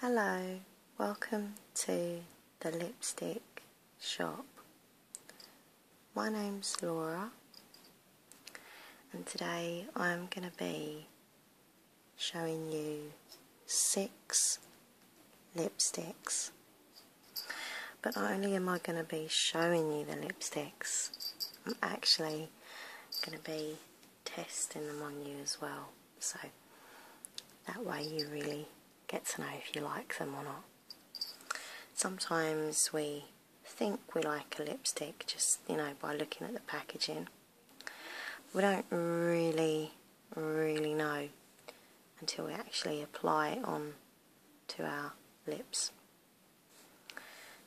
Hello, welcome to the lipstick shop. My name's Laura, and today I'm going to be showing you six lipsticks. But not only am I going to be showing you the lipsticks, I'm actually going to be testing them on you as well. So that way you really get to know if you like them or not. Sometimes we think we like a lipstick just, you know, by looking at the packaging. We don't really, really know until we actually apply it on to our lips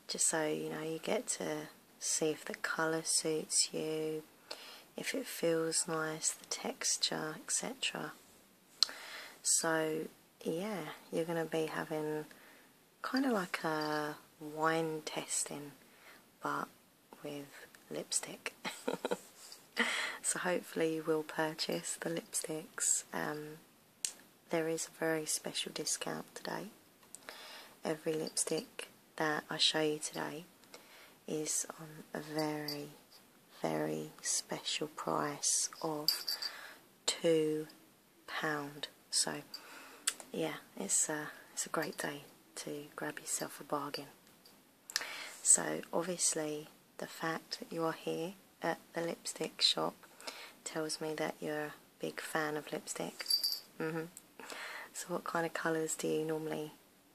just so you know you get to see if the colour suits you, if it feels nice, the texture, etc. So yeah, you're going to be having kind of like a wine testing but with lipstick. so hopefully you will purchase the lipsticks. Um, there is a very special discount today. Every lipstick that I show you today is on a very, very special price of £2. So, yeah, it's a, it's a great day to grab yourself a bargain. So, obviously, the fact that you are here at the lipstick shop tells me that you're big fan of lipstick. Mm-hmm. So what kind of colours do you normally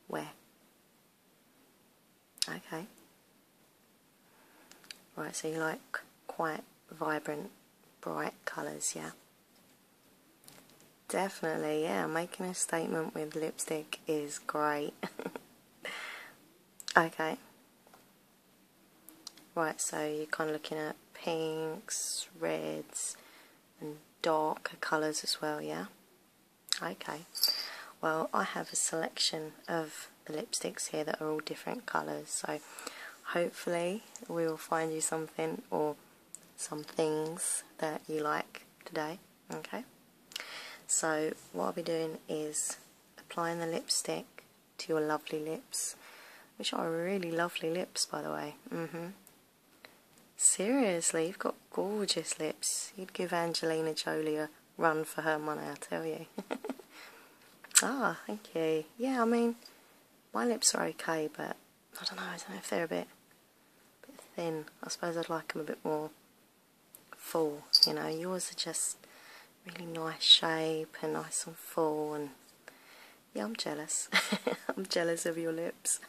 wear? Okay. Right, so you like quite vibrant, bright colours, yeah? Definitely, yeah, making a statement with lipstick is great. okay. Right, so you're kind of looking at pinks, reds, and darker colours as well, yeah? Okay, well I have a selection of the lipsticks here that are all different colours, so hopefully we will find you something or some things that you like today, okay? So what I'll be doing is applying the lipstick to your lovely lips, which are really lovely lips by the way, -hmm. Seriously, you've got gorgeous lips. You'd give Angelina Jolie a run for her money, I tell you. ah, thank you. Yeah, I mean, my lips are okay, but I don't know. I don't know if they're a bit, a bit thin. I suppose I'd like them a bit more full. You know, yours are just really nice shape and nice and full, and yeah, I'm jealous. I'm jealous of your lips.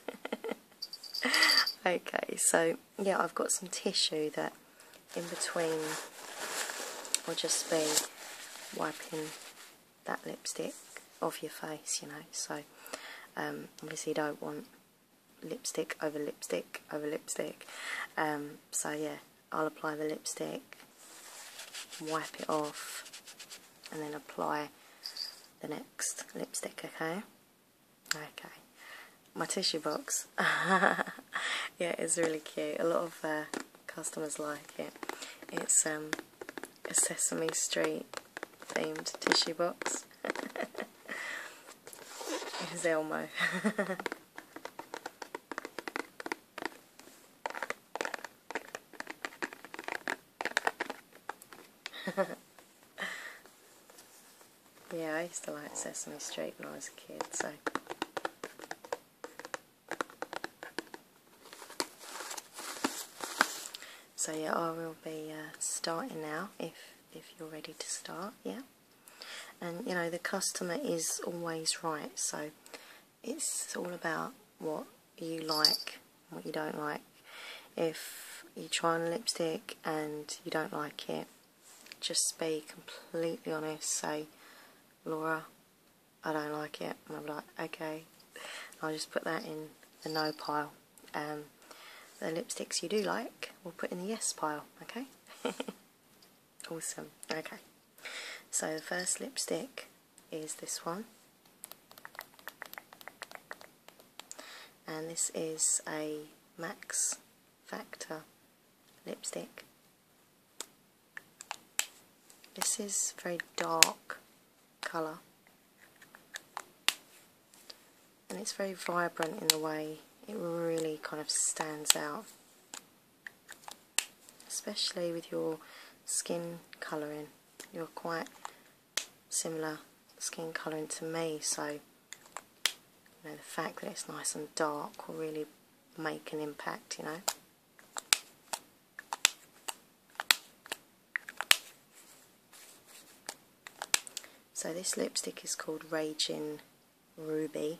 okay, so yeah, I've got some tissue that in between will just be wiping that lipstick off your face, you know. So um, obviously, you don't want lipstick over lipstick over lipstick. Um, so yeah, I'll apply the lipstick wipe it off and then apply the next lipstick okay okay my tissue box yeah it's really cute a lot of uh, customers like it it's um, a Sesame Street themed tissue box It's Elmo yeah, I used to like Sesame Street when I was a kid, so. So yeah, I will be uh, starting now if, if you're ready to start, yeah? And you know, the customer is always right, so it's all about what you like what you don't like. If you try on lipstick and you don't like it, just be completely honest. Say, Laura, I don't like it. And I'm like, okay. I'll just put that in the no pile. Um, the lipsticks you do like, we'll put in the yes pile, okay? awesome, okay. So the first lipstick is this one and this is a Max Factor lipstick this is very dark colour and it's very vibrant in the way it really kind of stands out especially with your skin colouring you're quite similar skin colouring to me so you know the fact that it's nice and dark will really make an impact you know so this lipstick is called Raging Ruby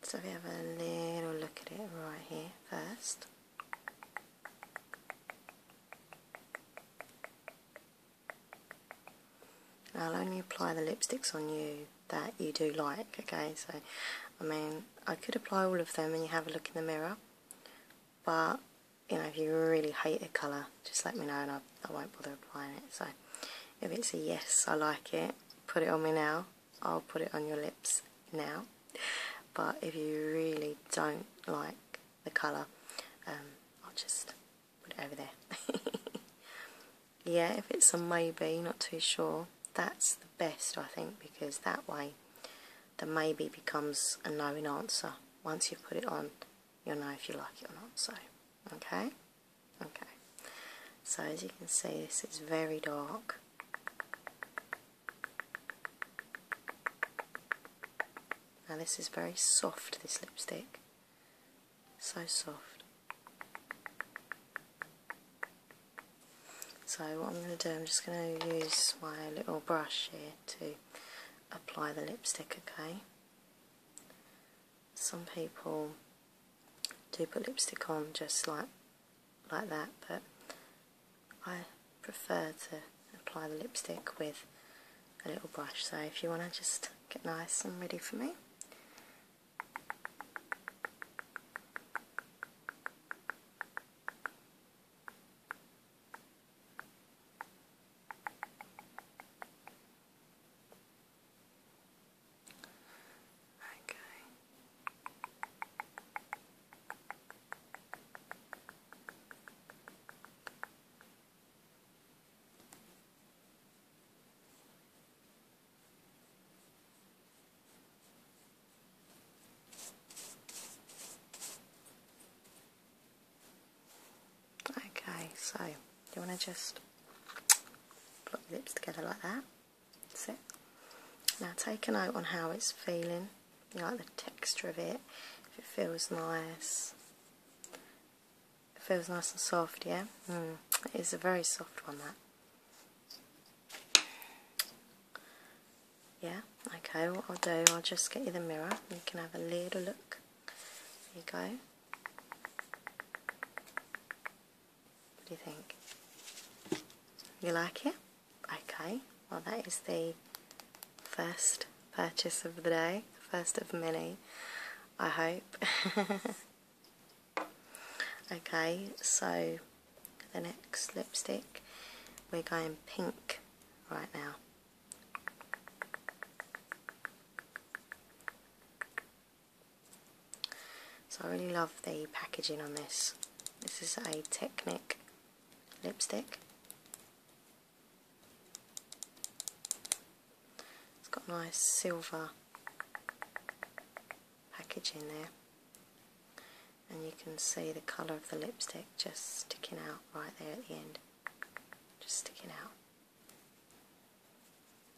So we have a little look at it right here first. I'll only apply the lipsticks on you that you do like, okay? So, I mean, I could apply all of them and you have a look in the mirror, but, you know, if you really hate a colour, just let me know and I won't bother applying it. So, if it's a yes, I like it, put it on me now, I'll put it on your lips now but if you really don't like the colour um, I'll just put it over there yeah if it's a maybe not too sure that's the best I think because that way the maybe becomes a knowing answer once you have put it on you'll know if you like it or not so okay okay so as you can see this is very dark now this is very soft, this lipstick. So soft. So what I'm going to do, I'm just going to use my little brush here to apply the lipstick, okay? Some people do put lipstick on just like like that but I prefer to apply the lipstick with a little brush so if you want to just get nice and ready for me Okay. Okay, so you want to just put your lips together like that? That's Now take a note on how it's feeling, you like the texture of it, if it feels nice. It feels nice and soft, yeah? Mm. It is a very soft one, that. Yeah? Okay, what I'll do, I'll just get you the mirror, you can have a little look. There you go. What do you think? You like it? Okay, well that is the first purchase of the day, first of many, I hope. okay, so the next lipstick, we're going pink right now. So I really love the packaging on this. This is a Technic lipstick. It's got nice silver packaging there. And you can see the colour of the lipstick just sticking out right there at the end. Just sticking out.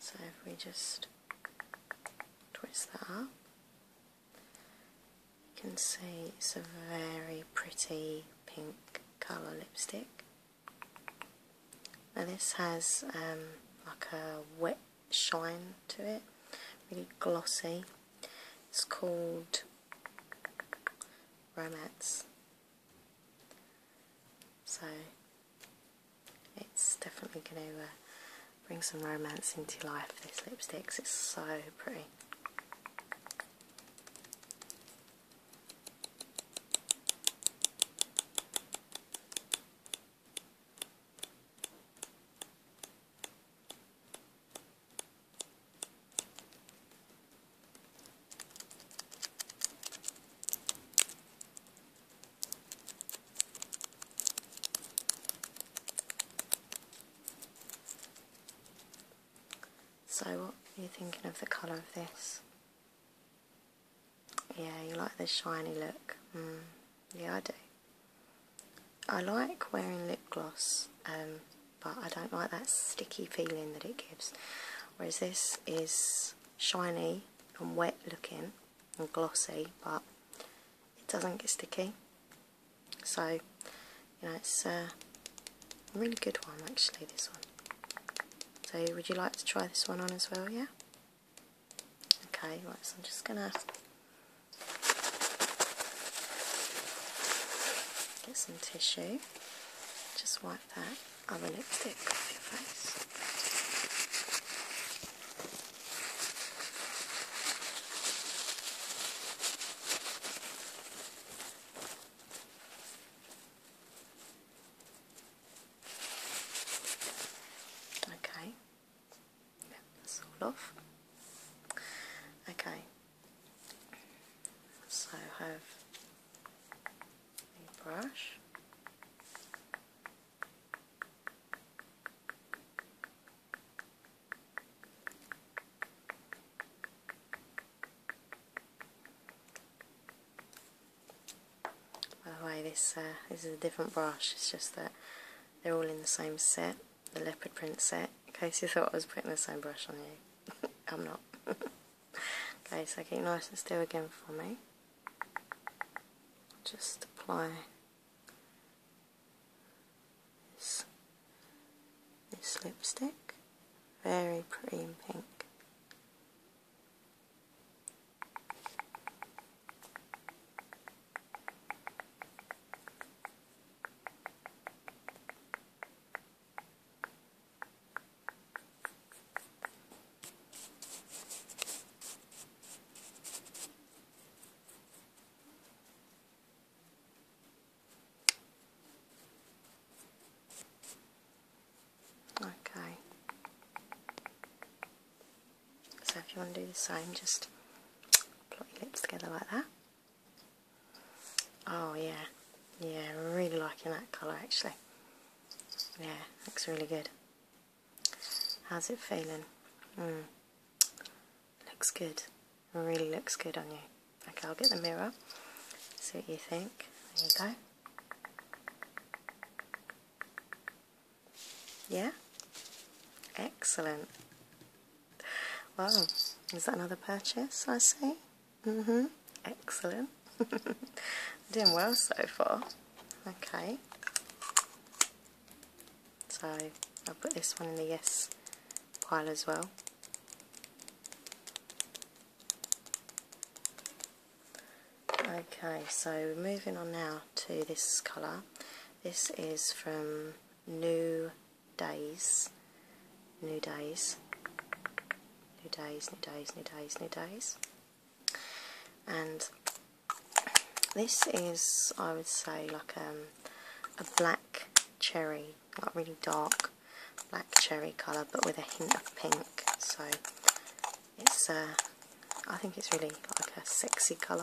So if we just twist that up, you can see it's a very pretty pink colour lipstick. Now this has um, like a wet shine to it, really glossy. It's called romance. So it's definitely going to uh, bring some romance into life, this lipstick, cause it's so pretty. So what are you thinking of the colour of this? Yeah, you like the shiny look. Mm, yeah, I do. I like wearing lip gloss, um, but I don't like that sticky feeling that it gives. Whereas this is shiny and wet looking and glossy, but it doesn't get sticky. So, you know, it's a really good one actually, this one. So would you like to try this one on as well, yeah? Okay, right, so I'm just going to Get some tissue, just wipe that other lipstick off your face. Okay, that's all off. Okay, so I have a brush. By the way, this uh, this is a different brush. It's just that they're all in the same set the leopard print set, in case you thought I was putting the same brush on you. I'm not. okay, so keep nice and still again for me. Just apply this, lipstick, very pretty in pink. Okay. So if you want to do the same, just put your lips together like that. Oh yeah, yeah, really liking that colour actually. Yeah, looks really good. How's it feeling? Hmm. Looks good. Really looks good on you. Okay, I'll get the mirror. See what you think. There you go. Yeah? Excellent. Wow, is that another purchase I see? hmm excellent. Doing well so far. Okay. So I'll put this one in the yes pile as well. Okay, so we're moving on now to this colour. This is from New days, new days, new days, new days, new days, new days. And this is, I would say, like um, a black cherry, like really dark black cherry colour, but with a hint of pink. So it's, uh, I think it's really like a sexy colour.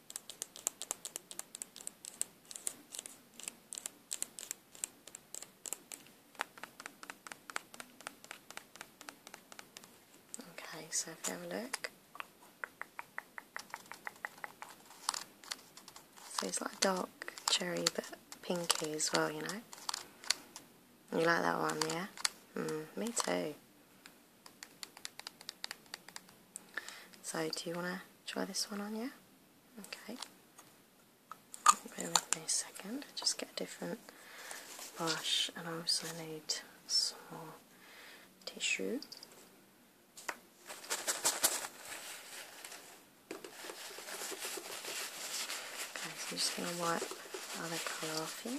Okay, so if you have a look, so it's like dark cherry but pinky as well, you know. You like that one, yeah? Mm, me too. So do you want to try this one on you? Okay. Bear with a second, just get a different brush and I also need some more tissue. Okay, so I'm just going to wipe the other colour off here.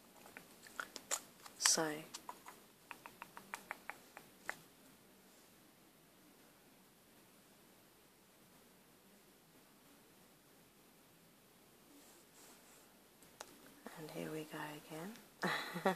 so and here we go again.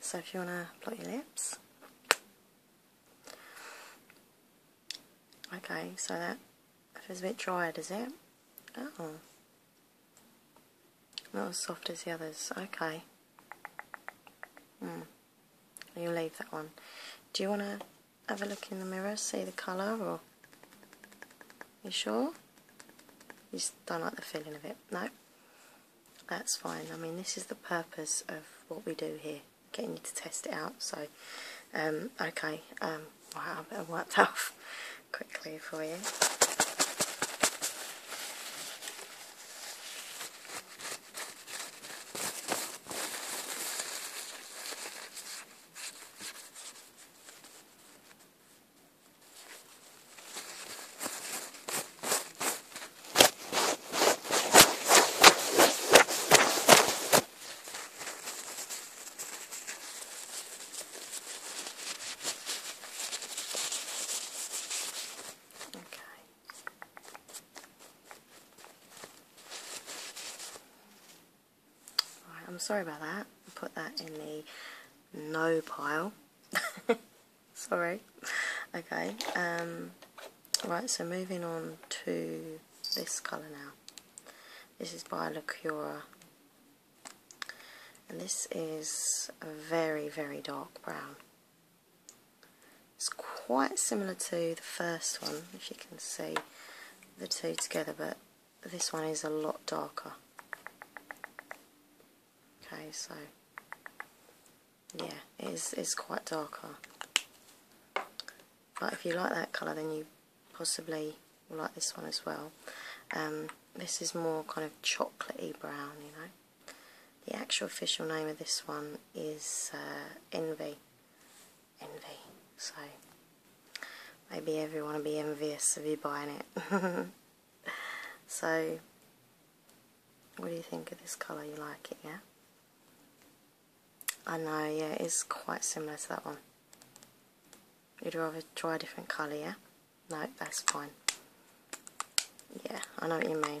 So if you want to blot your lips. Okay, so that feels a bit drier, does it? Oh. Not as soft as the others. Okay. Hmm. you leave that one. Do you want to have a look in the mirror, see the colour, or... You sure? You just don't like the feeling of it? No? that's fine. I mean, this is the purpose of what we do here, getting you to test it out. So, um, okay, um, wow, I better worked that off quickly for you. Okay. Right, I'm sorry about that. put that in the no pile. sorry. Okay, um, right, so moving on to this colour now. This is by And this is a very, very dark brown. It's quite similar to the first one, if you can see the two together, but this one is a lot darker. Okay, so yeah, it's it's quite darker. But if you like that colour, then you possibly like this one as well. Um, this is more kind of chocolatey brown, you know. The actual official name of this one is uh, Envy. Envy. So maybe everyone will be envious of you buying it. so, what do you think of this colour? You like it, yeah? I know, yeah, it is quite similar to that one. You'd rather try a different colour, yeah? No, that's fine. Yeah, I know what you mean.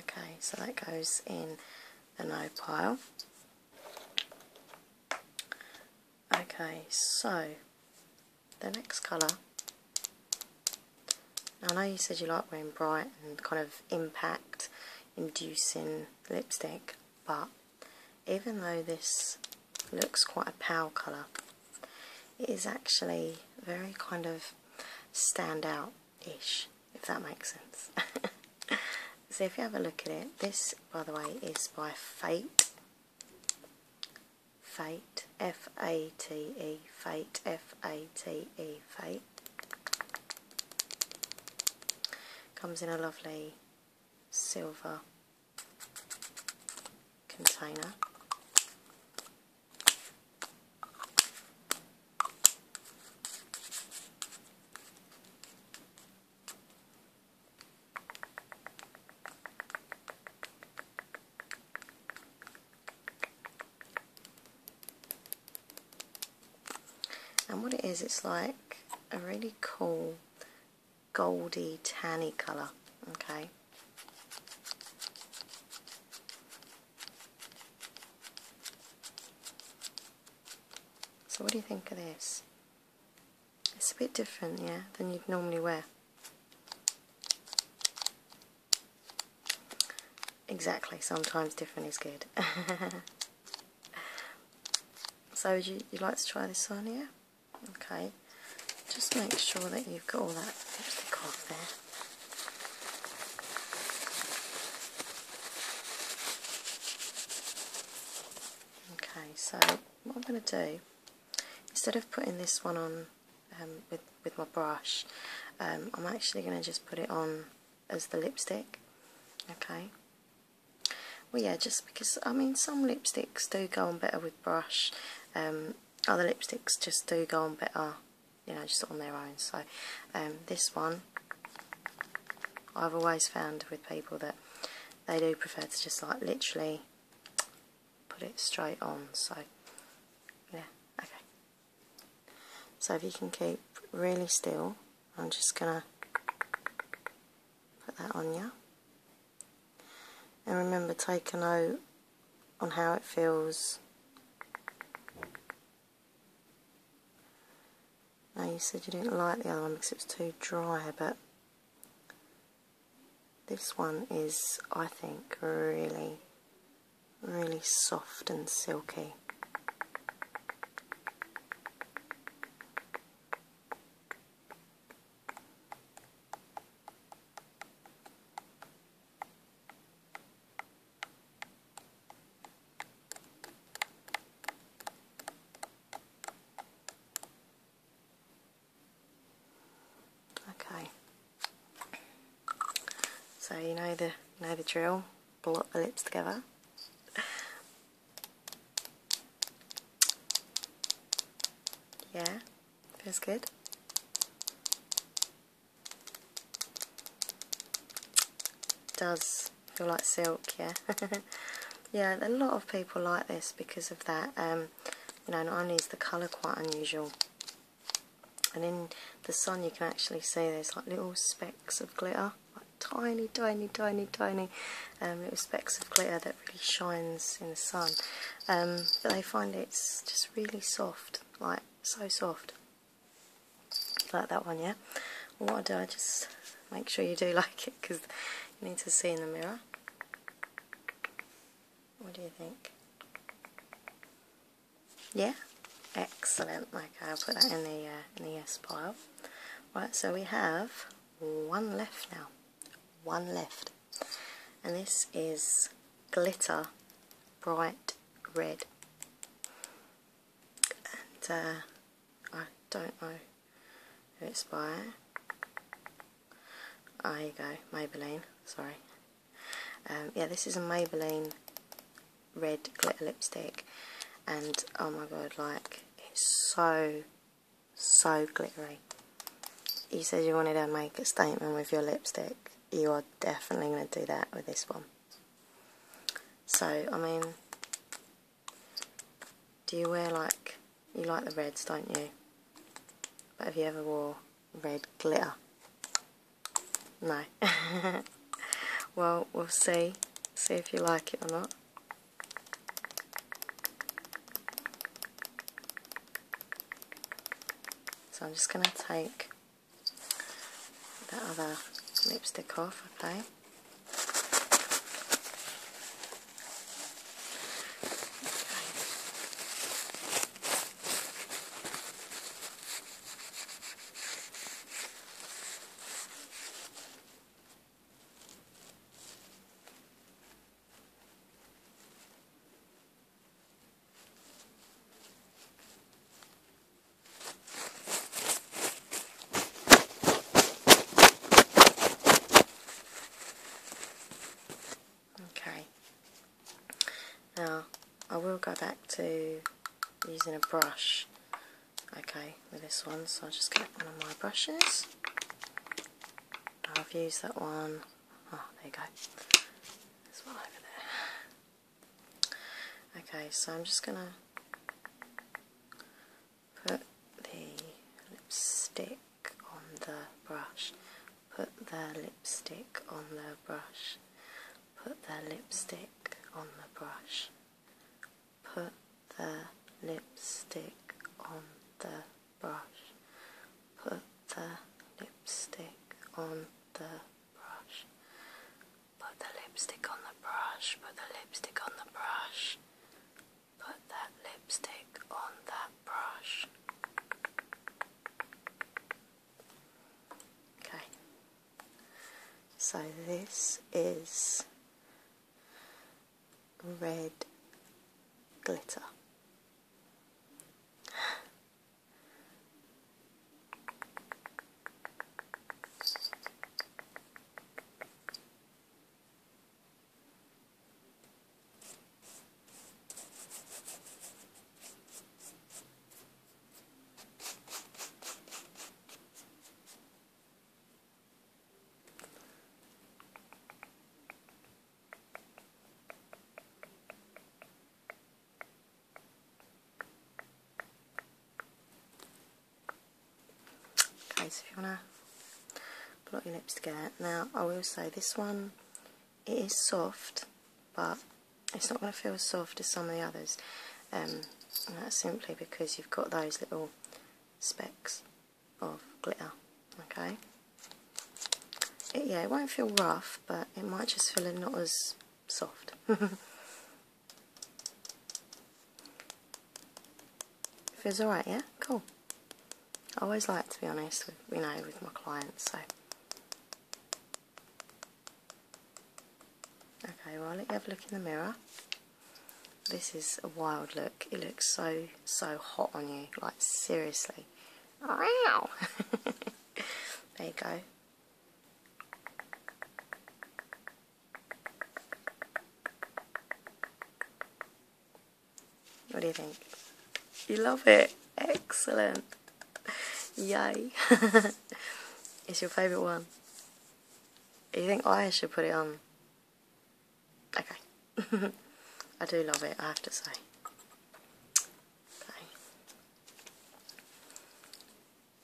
Okay, so that goes in the no pile. Okay, so the next colour. I know you said you like wearing bright and kind of impact inducing lipstick, but even though this looks quite a pale colour it is actually very kind of stand out ish if that makes sense so if you have a look at it this by the way is by Fate Fate F-A-T-E Fate F-A-T-E Fate comes in a lovely silver container. And what it is, it's like a really cool goldy tanny colour okay so what do you think of this it's a bit different yeah than you'd normally wear exactly sometimes different is good so would you, you like to try this on yeah okay just make sure that you've got all that lipstick off there okay so what I'm going to do instead of putting this one on um, with, with my brush um, I'm actually going to just put it on as the lipstick okay well yeah just because I mean some lipsticks do go on better with brush um, other lipsticks just do go on better you know just on their own so um, this one I've always found with people that they do prefer to just like literally put it straight on so yeah okay so if you can keep really still I'm just gonna put that on you and remember, take a note on how it feels. Now, you said you didn't like the other one because it was too dry, but this one is, I think, really, really soft and silky. Okay. So you know the know the drill. Block the lips together. Yeah, feels good. Does feel like silk, yeah. yeah, a lot of people like this because of that. Um, you know, not only is the colour quite unusual, and in the sun you can actually see there's like little specks of glitter, like tiny, tiny, tiny, tiny little um, specks of glitter that really shines in the sun. Um, but they find it's just really soft, like so soft. Like that one, yeah? what do, I just make sure you do like it because you need to see in the mirror. What do you think? Yeah? Excellent. Like I'll put that in the, uh, in the yes pile. Right, so we have one left now one left and this is glitter bright red and uh, I don't know who it's by oh, ah, there you go Maybelline sorry um, yeah this is a Maybelline red glitter lipstick and oh my god like it's so so glittery. You said you wanted to make a statement with your lipstick. You are definitely going to do that with this one. So, I mean, do you wear like, you like the reds, don't you? But have you ever wore red glitter? No. well, we'll see. See if you like it or not. So I'm just going to take that other lipstick off, okay? Okay, now I will go back to using a brush. Okay, with this one, so I'll just get one of my brushes. I've used that one. Oh, there you go. There's one over there. Okay, so I'm just going to put the lipstick on the brush. Put the lipstick on the brush. Put the lipstick on the brush put the lipstick on the brush, put the lipstick on the brush, put the lipstick on the brush, put the lipstick on the brush, put that lipstick on that brush. Okay, so this is red glitter. Okay, so you want to blot your lips together. Now, I will say this one, it is soft, but it's not going to feel as soft as some of the others. Um, and that's simply because you've got those little specks of glitter okay yeah it won't feel rough but it might just feel a not as soft feels alright yeah cool I always like to be honest with you know with my clients so okay well let you have a look in the mirror this is a wild look. It looks so, so hot on you. Like, seriously. Wow! there you go. What do you think? You love it. Excellent. Yay. it's your favourite one. You think I should put it on? Okay. I do love it, I have to say.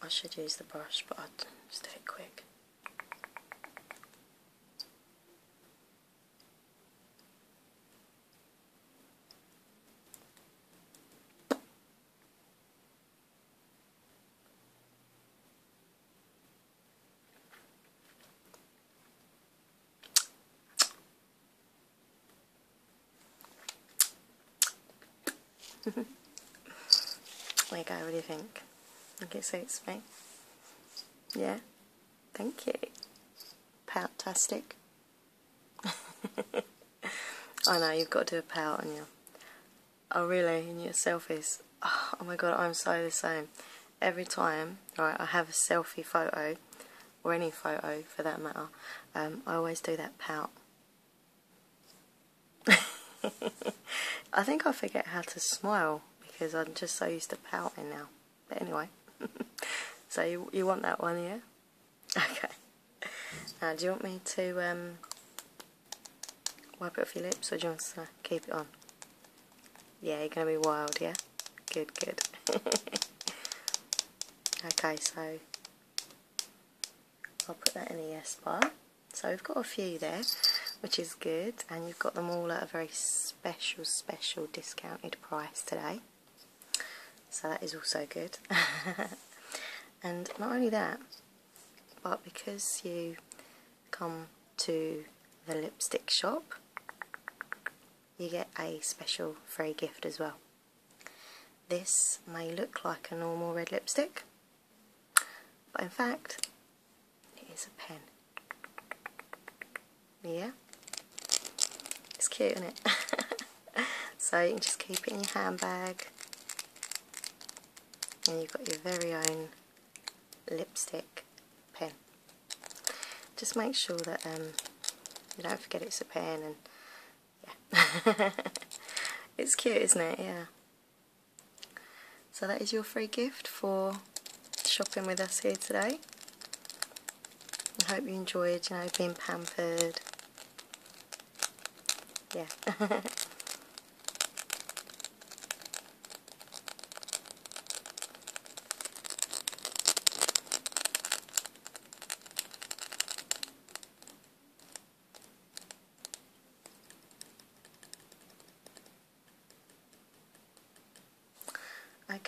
I should use the brush, but I'll just do it quick there go, what do you think? I guess it's me? Yeah? Thank you. pout I know, you've got to do a pout on your Oh really? And your selfies? Oh, ah, oh my god, I'm so the same. Every time, right, I have a selfie photo, or any photo for that matter, um, I always do that pout. I think I forget how to smile because I'm just so used to pouting now. But anyway, so you, you want that one, yeah? Okay. Now, do you want me to um, Wipe it off your lips or do you want to keep it on? Yeah, you're going to be wild, yeah? Good, good. okay, so I'll put that in the yes bar. So we've got a few there, which is good, and you've got them all at a very special, special discounted price today. So that is also good. and not only that, but because you come to the lipstick shop you get a special free gift as well. This may look like a normal red lipstick but in fact it is a pen. Yeah? It's cute isn't it? so you can just keep it in your handbag and you've got your very own lipstick pen. Just make sure that um, you don't forget it's a pen and yeah. it's cute isn't it? Yeah. So that is your free gift for shopping with us here today. I hope you enjoyed, you know, being pampered. Yeah.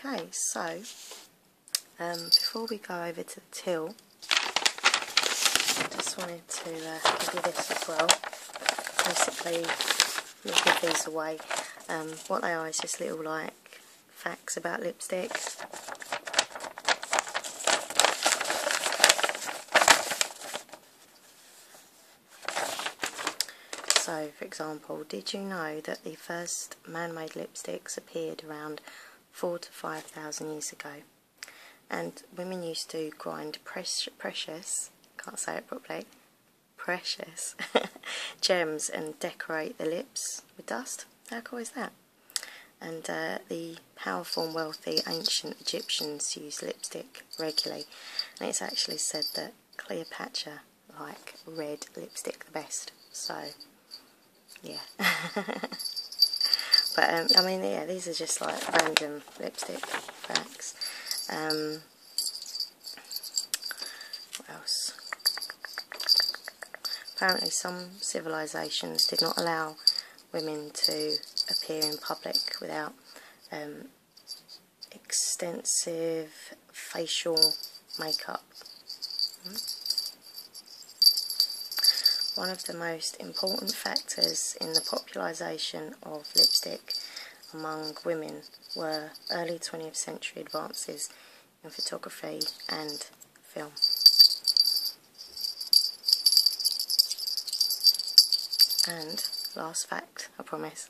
Okay, so um, before we go over to the till, just want to uh, give you this as well. Basically, we'll give these away. Um, what they are is just little like facts about lipsticks. So, for example, did you know that the first man-made lipsticks appeared around four to five thousand years ago? And women used to grind precious can't say it properly, precious gems and decorate the lips with dust. How cool is that? And uh, the powerful and wealthy ancient Egyptians used lipstick regularly. And it's actually said that Cleopatra liked red lipstick the best. So, yeah. but, um, I mean, yeah, these are just like random lipstick facts. Um, what else? Apparently some civilizations did not allow women to appear in public without um, extensive facial makeup. Hmm? One of the most important factors in the popularisation of lipstick among women were early 20th century advances in photography and film. And last fact, I promise.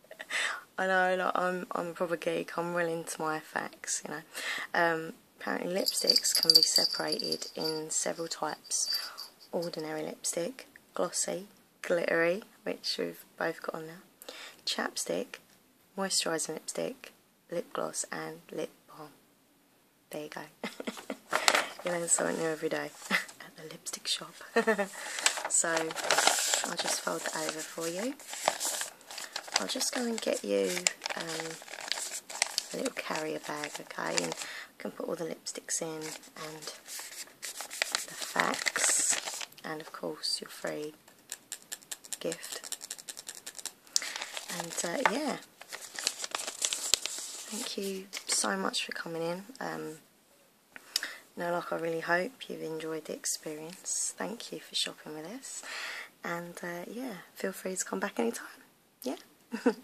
I know, like, I'm I'm a proper geek. I'm well into my facts, you know. Um, apparently, lipsticks can be separated in several types: ordinary lipstick, glossy, glittery, which we've both got on now, chapstick, moisturising lipstick, lip gloss and lip balm. There you go. you learn something new every day at the lipstick shop. so I'll just fold that over for you. I'll just go and get you um, a little carrier bag, okay? I can put all the lipsticks in and the facts and of course your free gift and uh, yeah thank you so much for coming in um, no like I really hope you've enjoyed the experience thank you for shopping with us and uh, yeah feel free to come back anytime yeah